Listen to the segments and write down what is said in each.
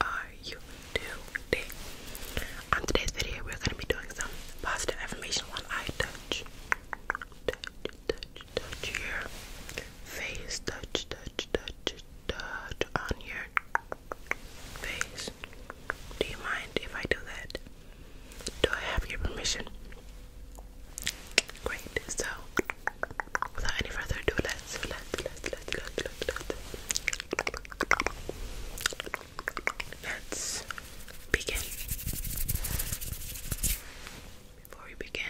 are you today? On today's video, we're going to be doing some positive affirmation one eye touch. Touch, touch, touch your face. Touch, touch, touch, touch on your face. Do you mind if I do that? Do I have your permission? Great. So, without any further ado, let's let's let's let's let's let's let's begin. Before we begin,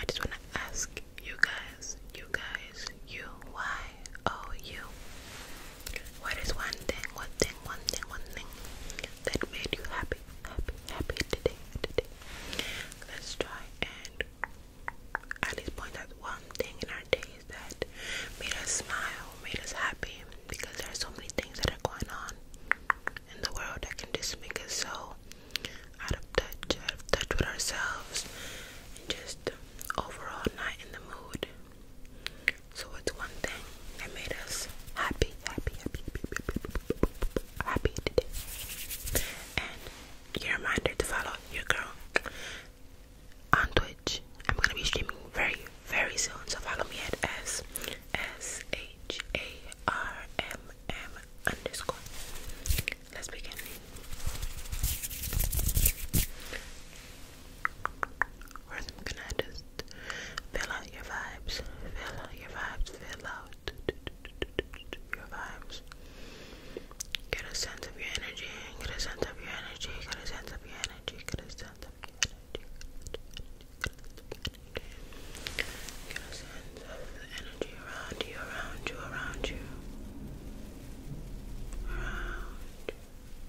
I just want to ask you guys, you guys, you, why, oh, you, what is one thing, one thing, one thing, one thing that made you happy, happy, happy today, today? Let's try and at least point out one thing in our days that made us smile, made us happy, because there are so many things that are going on in the world that can just make us so out of touch, out of touch with ourselves, and just overall not in the mood. So it's one thing that made us happy, happy, happy, happy, happy, And your reminder to follow your girl on Twitch. I'm gonna be streaming very, very soon. So follow me at S S H A R M M underscore. Let's begin. First, just fill out your vibes. Fill out your vibes. Fill out your vibes just get a sense of your energy, get a sense of your energy, get a sense of your energy, get a sense of your energy, get a sense of the energy around you, around you, around you,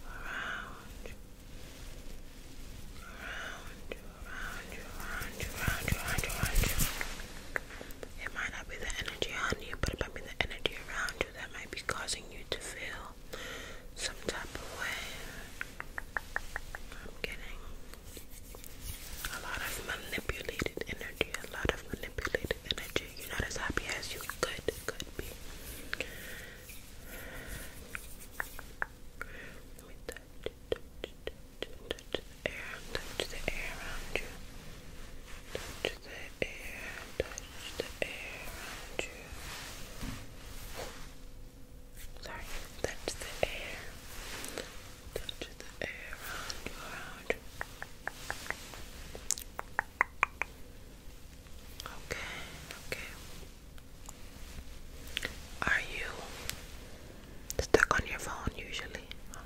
around you, around you. Around you, around you, around you, around you, around you, around you. It might not be the energy on you, but it might be the energy around that might be causing you to feel some type of way. I'm getting a lot of manipulated energy, a lot of manipulated energy. You're not as happy as you could could be. touch, the air, touch the air around you touch the air, touch the air around you. Sorry, touch the air, touch the air around you, Okay, okay. Are you stuck on your phone usually?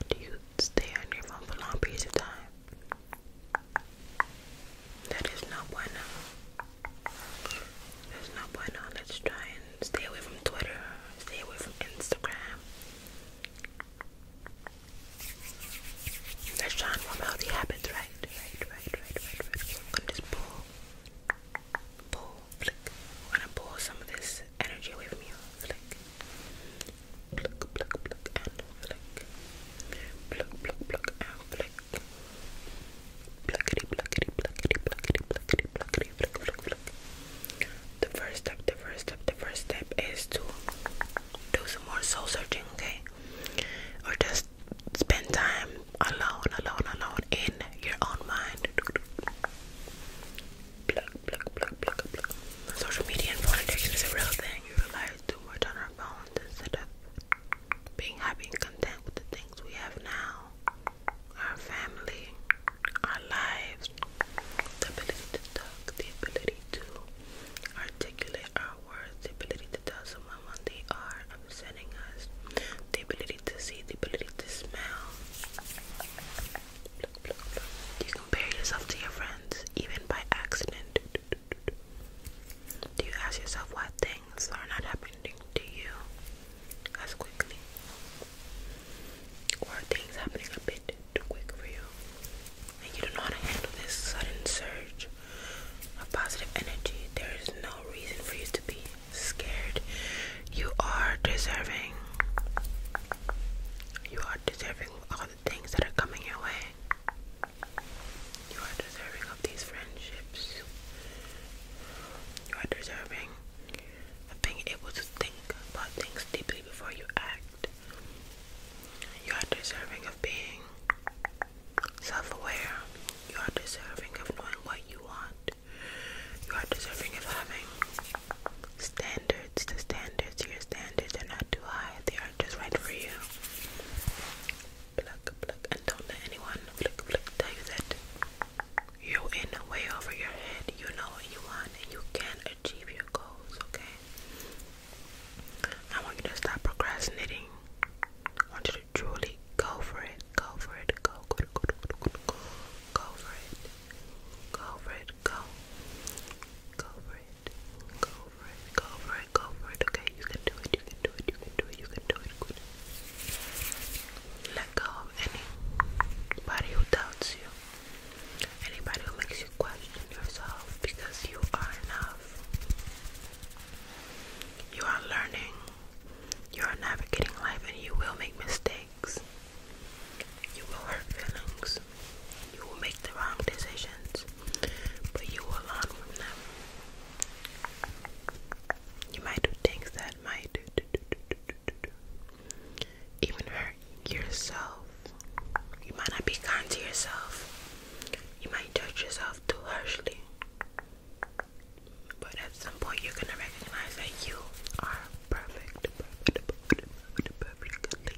do you stay on your phone for long periods of time? That is not bueno. That's no bueno. Let's try and stay away from Twitter. Stay away from Instagram. Let's try and form habits, right? Right, right, right, right, right. I'm just pull, pull, flick. I'm gonna pull some of this energy away from you. Flick. The first step, the first step, the first step is to do some more soul searching, okay? Or just spend time alone, alone, alone in your own mind. Social media and phone addiction is a real thing, has too much on our phones instead of being happy and content with the things we have now our family, our lives, the ability to talk, the ability to articulate our words, the ability to tell someone when they are upsetting us, the ability to see, the ability to smell. You compare yourself to your friends, even by accident. Do you ask yourself why things are not happening to you as quickly? Or are things happening a bit too quick for you? And you don't know to handle this sudden surge of positive energy. There is no reason for you to be scared. You are deserving. You are deserving things that are coming your way. You are deserving of these friendships. You are deserving of being able to think about things deeply before you act. You are deserving of being self aware. You are deserving of knowing what you want. You are deserving of having standards. It's the standards, your standards they are not too high. They are just right for you. Pluck, pluck, and don't let anyone pluck, pluck, tell you that you're in way over your head. You know what you want and you can achieve your goals, okay? I want you to stop procrastinating. I want you to truly go for it. Go for it. Go, go, go, go, go, go, go, for it. Go for it for it. Go for it. Go for it. Go for it. Okay, you can do it. You can do it. You can do it. You can do it. Good. Let go of anybody who doubts you. Anybody who makes you question yourself because you are enough. You are learning. You are navigating life and you will make mistakes. You will hurt feelings. You will make the wrong decisions, but you will learn from them. You might do things that might even hurt yourself. You might not be kind to yourself. You might judge yourself too harshly. But at some point, you're gonna recognize that you are perfect, perfect, perfect, perfectly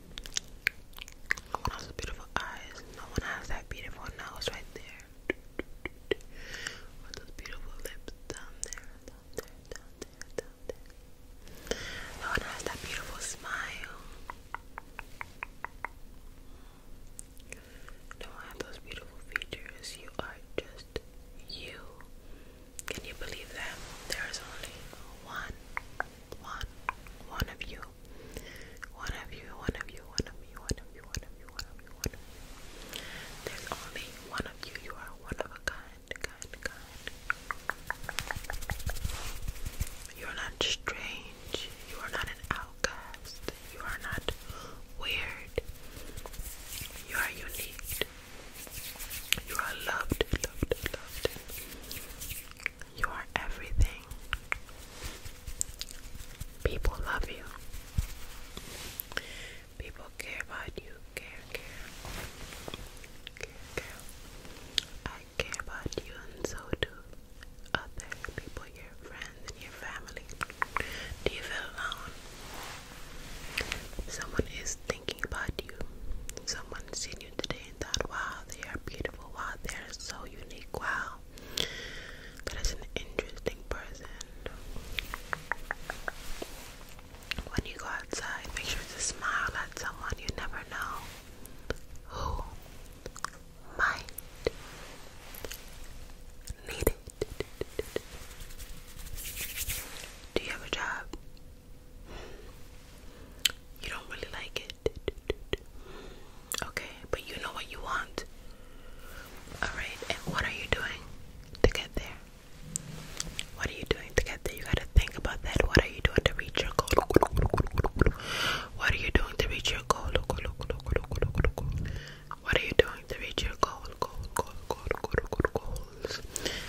No one has the beautiful eyes. No one has that beautiful nose right there. With those beautiful lips down there, down there, down there, down there. No one has that beautiful smile. No one has those beautiful features. You are just you. Can you believe that? There is only one, one, one of you. One of you, one of you, one of you, one of you, one of you, one of you, one There's only one of you. You are one of a kind, kind, kind. You are not strange. You are not an outcast. You are not weird. You are unique. You are loved, loved, loved. You are everything. People love you. People care about you. Care, care. Care, care. I care about you and so do other people, your friends and your family. Do you feel alone? Someone is thinking about you. Someone you today and thought, wow, they are beautiful, wow, they are so unique, wow, that is an interesting person. When you go outside, make sure to smile at someone you never know who might need it. Do you have a job? You don't really like it. Okay, but you know what you want. Alright, and what are you doing to get there? What are you doing to get there? You gotta think about that. What are you doing to reach your goal? What are you doing to reach your goal? What are you doing to reach your goal? Goal, goal, goal, goals.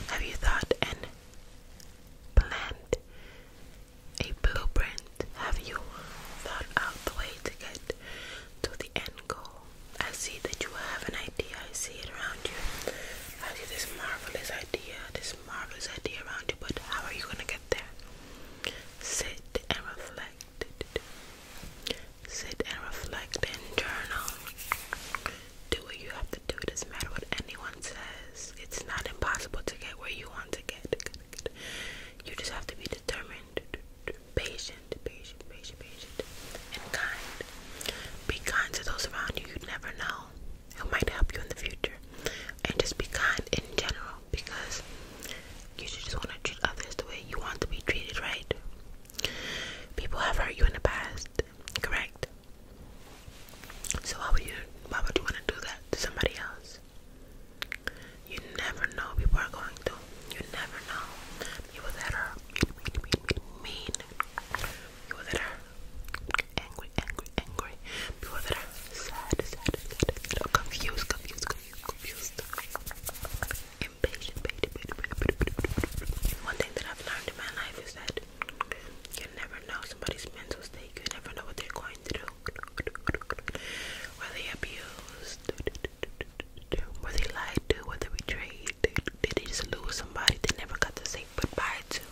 Have you thought and planned a blueprint? Have you thought out the way to get to the end goal? I see that you have an idea. I see it around you. I see this marvelous idea, this marvelous idea around you, but how are you going to get there? Sit and reflect. Sit and reflect and journal. Do what you have to have to do. It doesn't matter what anyone says. It's not impossible to get where you want to get. You just have to be determined, patient, patient, patient, patient, and kind. Be kind to those around you. You never know who might help you in the future. And just be kind in general because you should just want to treat others the way you want to be treated, right? People have hurt you in the past, correct? So why would you why would you want to do that to somebody else? You never know what people are going through. You never know. People that are mean, mean, mean, mean. People that are angry, angry, angry. People that are sad, sad, sad, sad. confused, confused, confused, confused. Impatient, impatient, impatient, impatient, impatient. One thing that I've learned in my life is that you never know somebody's mental state. You never know what they're going through. Were they abused? Were they lied to? Were they betrayed? Did they just lose somebody they never got to say goodbye to?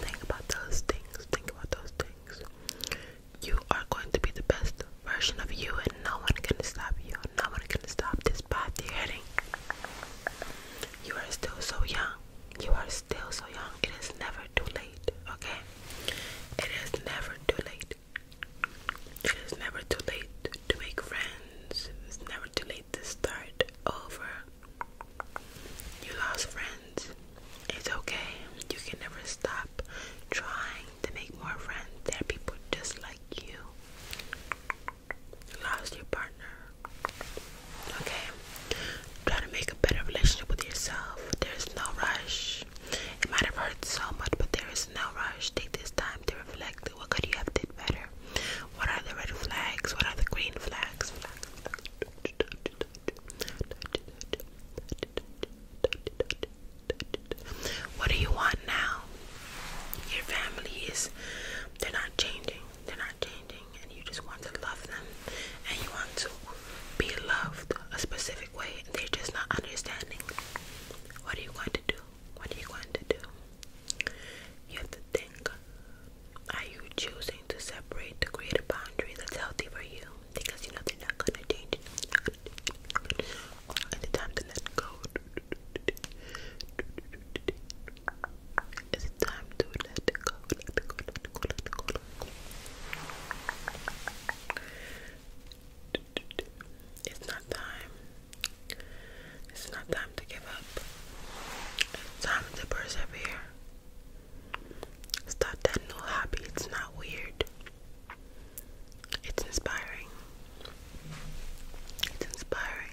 Think about those things. Think about those things. You are going to be the best version of you, and no one can stop you. No one can stop this path you're heading. You are still so young. You are still so young. It is never too late, okay? It is never too late. It is never too late to make friends. It's never too late to start over. You lost friends. It's okay. You can never stop trying to make more friends. There are people just like you lost your partner. Okay? Try to make a better relationship with yourself. There's no rush. It might have hurt so much, but there is no rush. Take this time to reflect what could you have did better? What are the red flags? What are the green flags? What do you want now? Your family is they're not changing they're not changing and you just want to love them and you want to be loved a specific way and they're just not understanding what are you going to do what are you going to do you have to think are you choosing to separate to create a boundary that's healthy for you because you know they're not going to change it the time to let go is it time to let it go? Let it go, let it go, let it go, let it go. It's not time. It's not time to give up. It's time to persevere. Start that new hobby. It's not weird. It's inspiring. It's inspiring.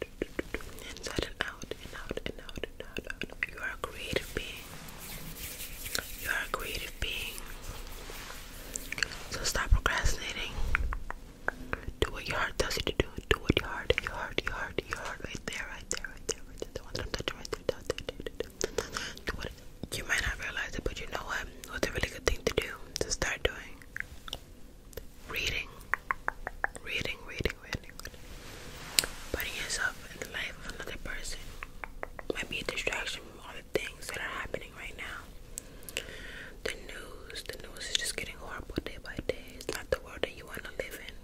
inside and out and out and out and out, and out. You are a creative being. You are a creative being. So stop procrastinating. Do what your heart tells you to do. Do what your heart, your heart, your heart, your heart, right there, right there, right there, right there. The touching right there. Down there, there, there, you might not realize it, but you know what? What's a really good thing to do to start doing? reading, reading, reading, reading, putting yourself in the life of another person might be a distraction from all the things that are happening right now. The news, the news is just getting horrible day by day. It's not the world that you want to live in.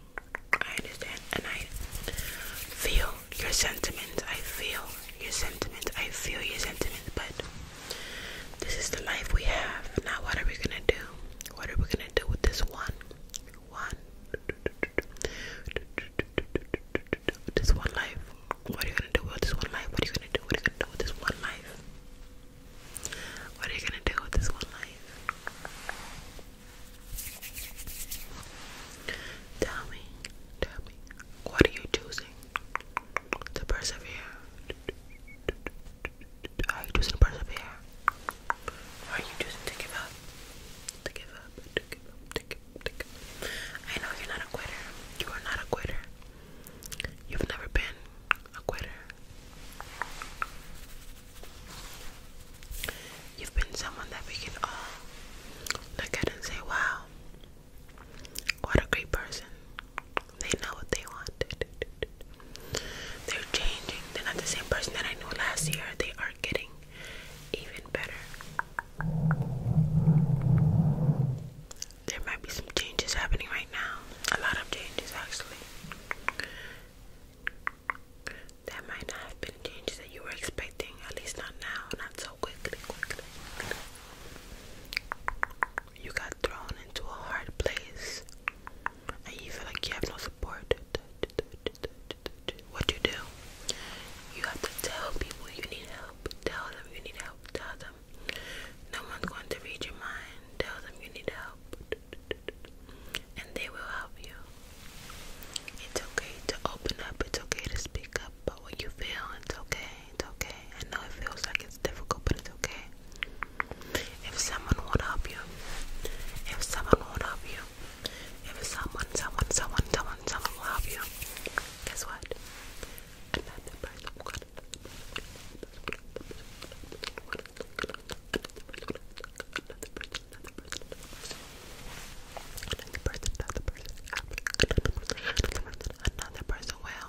I understand, and I feel your sentiments. I feel your sentiments. I feel your sentiments, but this is the life we have. Now, what are we gonna do? What are we gonna do with this one? One. This one life. What are you gonna do with this one life? What are you gonna do? What are you gonna do with this one life? What are you gonna do with this one life? Tell me, tell me, what are you choosing to persevere? are you choosing to persevere? Or are you choosing To give up, to give up, to give up, to give up. I know you're not a quitter. You are not a quitter. You've never been a quitter. You've been someone that we can all look at and say, wow, what a great person. They know what they wanted. They're changing. They're not the same person that I knew last year. They are getting even better. There might be some changes happening right now. A lot of changes, actually. That might not have been changes that you were expecting, at least not now, not so quickly, You got got thrown into a hard place and you feel like you have no support, what do you do? You have to tell people you need help. Tell them you need help. Tell them no one's going to read your mind. Tell them you need help. And they will help you. It's okay to open up. It's okay to speak up about what you feel. It's okay. It's okay. I know it feels like it's difficult, but it's okay. If someone won't help you, if someone won't help you, if someone, someone, someone, someone, someone will help you, guess what? another person will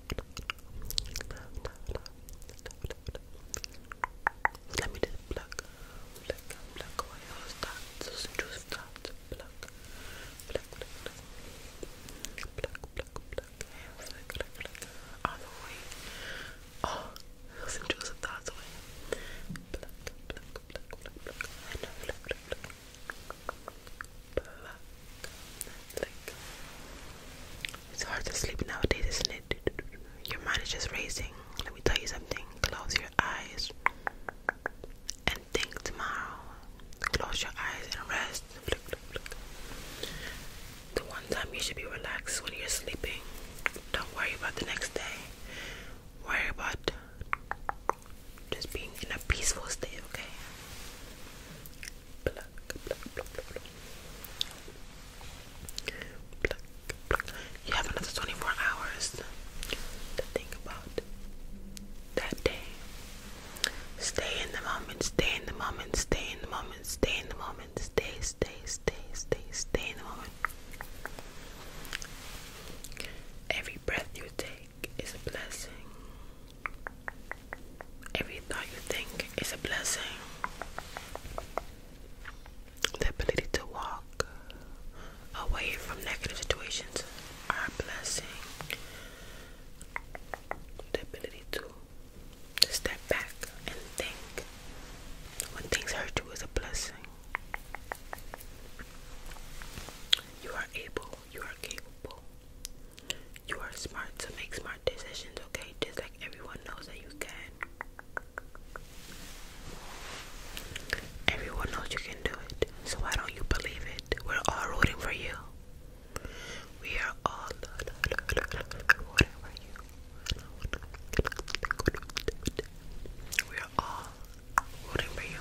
let me just pluck, pluck, pluck away those intrusive dots. Pluck, pluck, pluck, pluck. Pluck, pluck, those intrusive dots away. Pluck, pluck, pluck, pluck, pluck. Pluck. Like, it's hard to sleep nowadays, isn't it? Your mind is just racing. Let me tell you something. Close your eyes and think tomorrow. Close your eyes and rest. Look, look, look. The one time you should be relaxed when you're sleeping. Don't worry about the next day. Worry about just being in a peaceful state, okay? You have another 24 hours to think about that day. Stay in the moment, stay in the moment, stay in the moment, stay in the moment, stay, stay, stay, stay, stay in the moment. Every breath you take is a blessing. Every thought you think is a blessing. The ability to walk away from negative situations are blessing. The ability to step back and think when things hurt you is a blessing. You are able you are capable. You are smart to make smart decisions, okay? Just like everyone knows that you can. Everyone knows you can do it. So why don't you believe it? We're all rooting for you. We are all rooting for you. We are all rooting for you.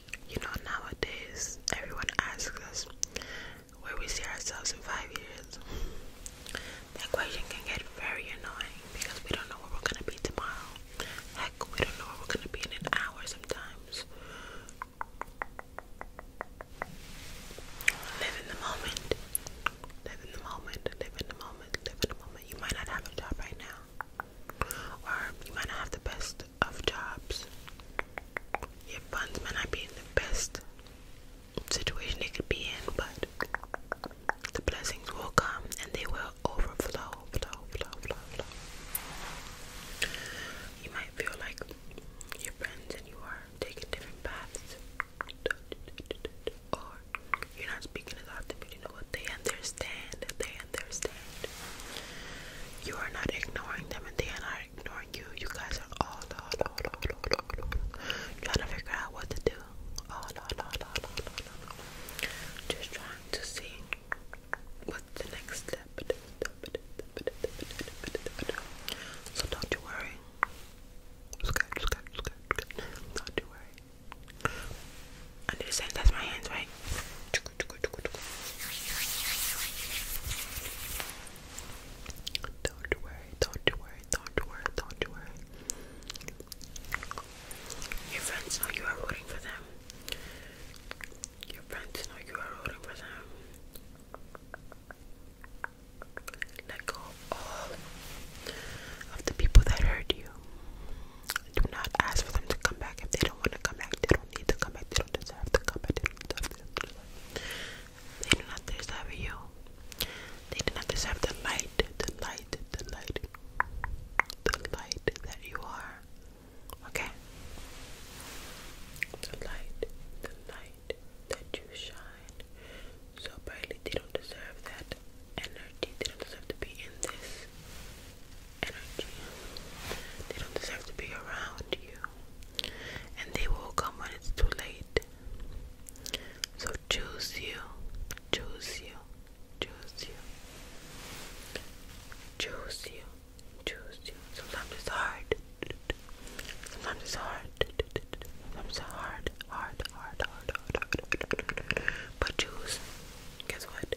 you know, nowadays everyone asks us where we see ourselves in five years. That question can get very annoying because we don't know where we're gonna be tomorrow. Heck, we don't know where we're gonna be in an hour sometimes. Live in the moment. Live in the moment. Live in the moment. Live in the moment. You might not have a job right now or you might not have the best of jobs. Your funds might not be in the best situation they could be in, but the blessings will come and they will overflow, flow, flow, You might feel like your friends and you are taking different paths, or you're not speaking as often, but you know what? They understand, they you are not ignoring them and they are not ignoring you. You guys are all, all, trying to figure out what to do. Just trying to see what's the next step. So don't you worry. Don't you worry. I do that's my hands, right? Don't worry, don't worry, don't worry, don't worry. Your friends know you are rooting for them. Your friends know you are rooting for them. Let go of the people that hurt you do not ask for them to come back if they don't want to come back. They don't need to come back. They don't deserve to come back. They don't deserve you. They do not deserve the light, the light, the light, the light that you are. Okay? The light, the light that you shine so brightly. They don't deserve that energy. They don't deserve to be in this energy. They don't deserve to be around you. And they will come when it's too late. So choose you. Choose you. Choose you. Choose you. Choose you. Sometimes it's hard. Sometimes it's hard. Sometimes it's hard. Hard, hard, hard, hard, hard. But choose. Guess what?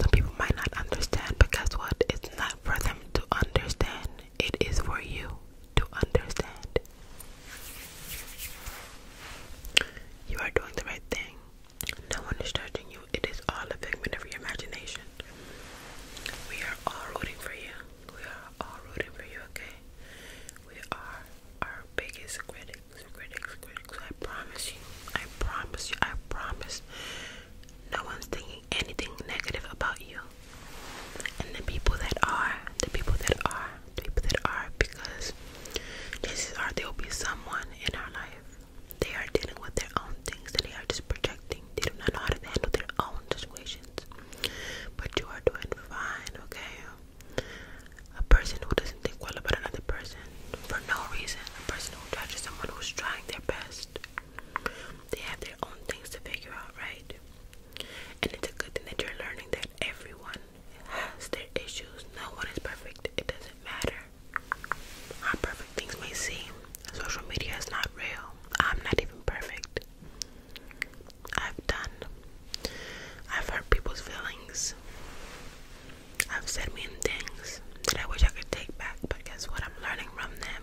Some people might not understand, but guess what? It's not for them to understand, it is for you to understand. You are doing the right thing. No one is judging you. It is all a figment of your imagination. We are all rooting for you. We are all rooting for you, okay? We are our biggest critics, critics. I promise you. I promise you. I promise no one's thinking anything negative about you. And the people that are, the people that are, the people that are, because chances are there will be someone in our life. They are dealing with their own things and they are just projecting. They do not know how to handle their own situations. But you are doing fine, okay? A person who doesn't think well about another person for no reason, a person who judges someone who's trying their best. They have their own things to figure out, right? And it's a good thing that you're learning that everyone has their issues. No one is perfect. It doesn't matter how perfect things may seem. Social media is not real. I'm not even perfect. I've done. I've hurt people's feelings. I've said mean things that I wish I could take back, but guess what? I'm learning from them.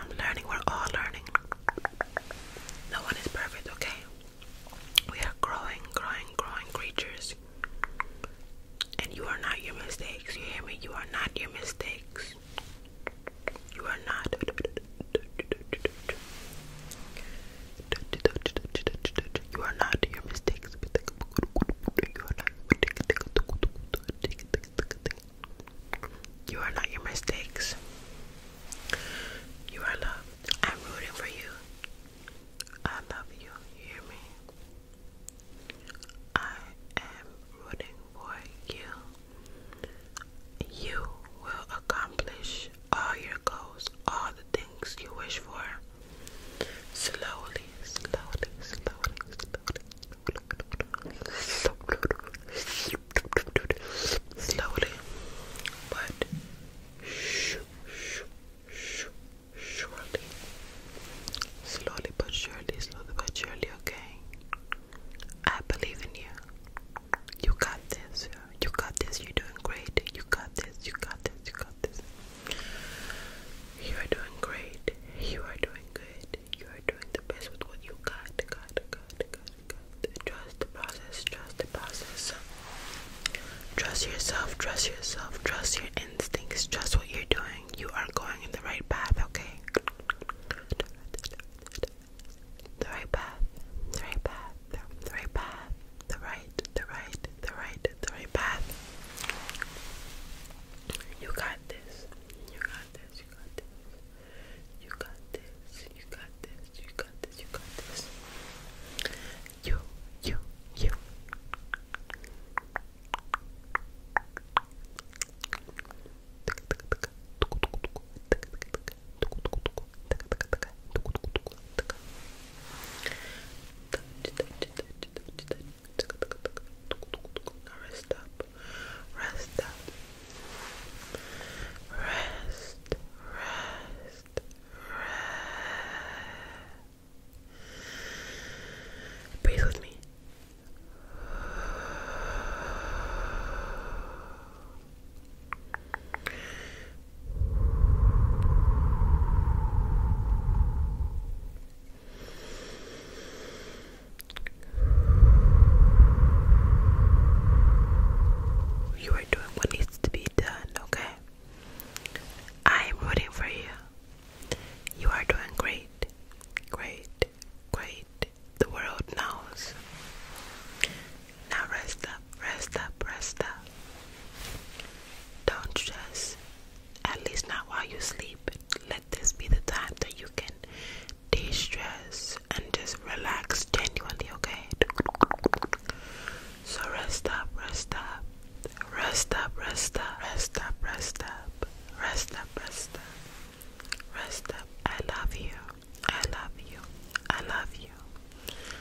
I'm learning, we're all learning. No one is perfect, okay? We are growing, growing, growing creatures. And you are not your mistakes. You hear me? You are not your mistakes. You are not. You are not your mistakes. You are not your mistakes. You are loved. I'm rooting for you. I love you. You hear me? I am rooting for you. You will accomplish all your goals, all the things you wish for slowly, slowly, slowly, slowly, slowly, but surely, slowly but surely, slowly but surely, okay? I believe in you. You got this. You got this. You're doing great. You got this. You got this. You got you are doing great. You are doing good. You are doing the best with what you got. Got, got, got, got. Trust the process. Trust the process. Trust yourself. Trust yourself. Trust your instincts. Trust what you're doing. You are going in the right path, okay? The right path. The right path. The right path the right, the right, the right, the right path. You got this. You got this. You got this. You got this. You got this. You got this. You got this. You, you, you. Touch, touch, Rest up. Rest up. Rest. Rest. Rest. Breathe with me. You are doing what needs to be done, okay? I am rooting for you. You are doing great, great, great. The world knows. Now rest up, rest up, rest up. Don't just, at least not while you sleep. Let this be the time that you can de stress and just relax genuinely, okay? So rest up, rest up, rest up, rest up, rest up, rest up, rest up, rest up, rest up. I love you, I love you, I love you.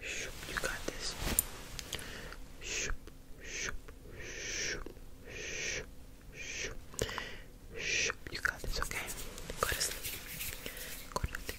Shoop, you got this. Shoop, shoop, shoop, shoop, shoop, shoop. You got this, okay? Go to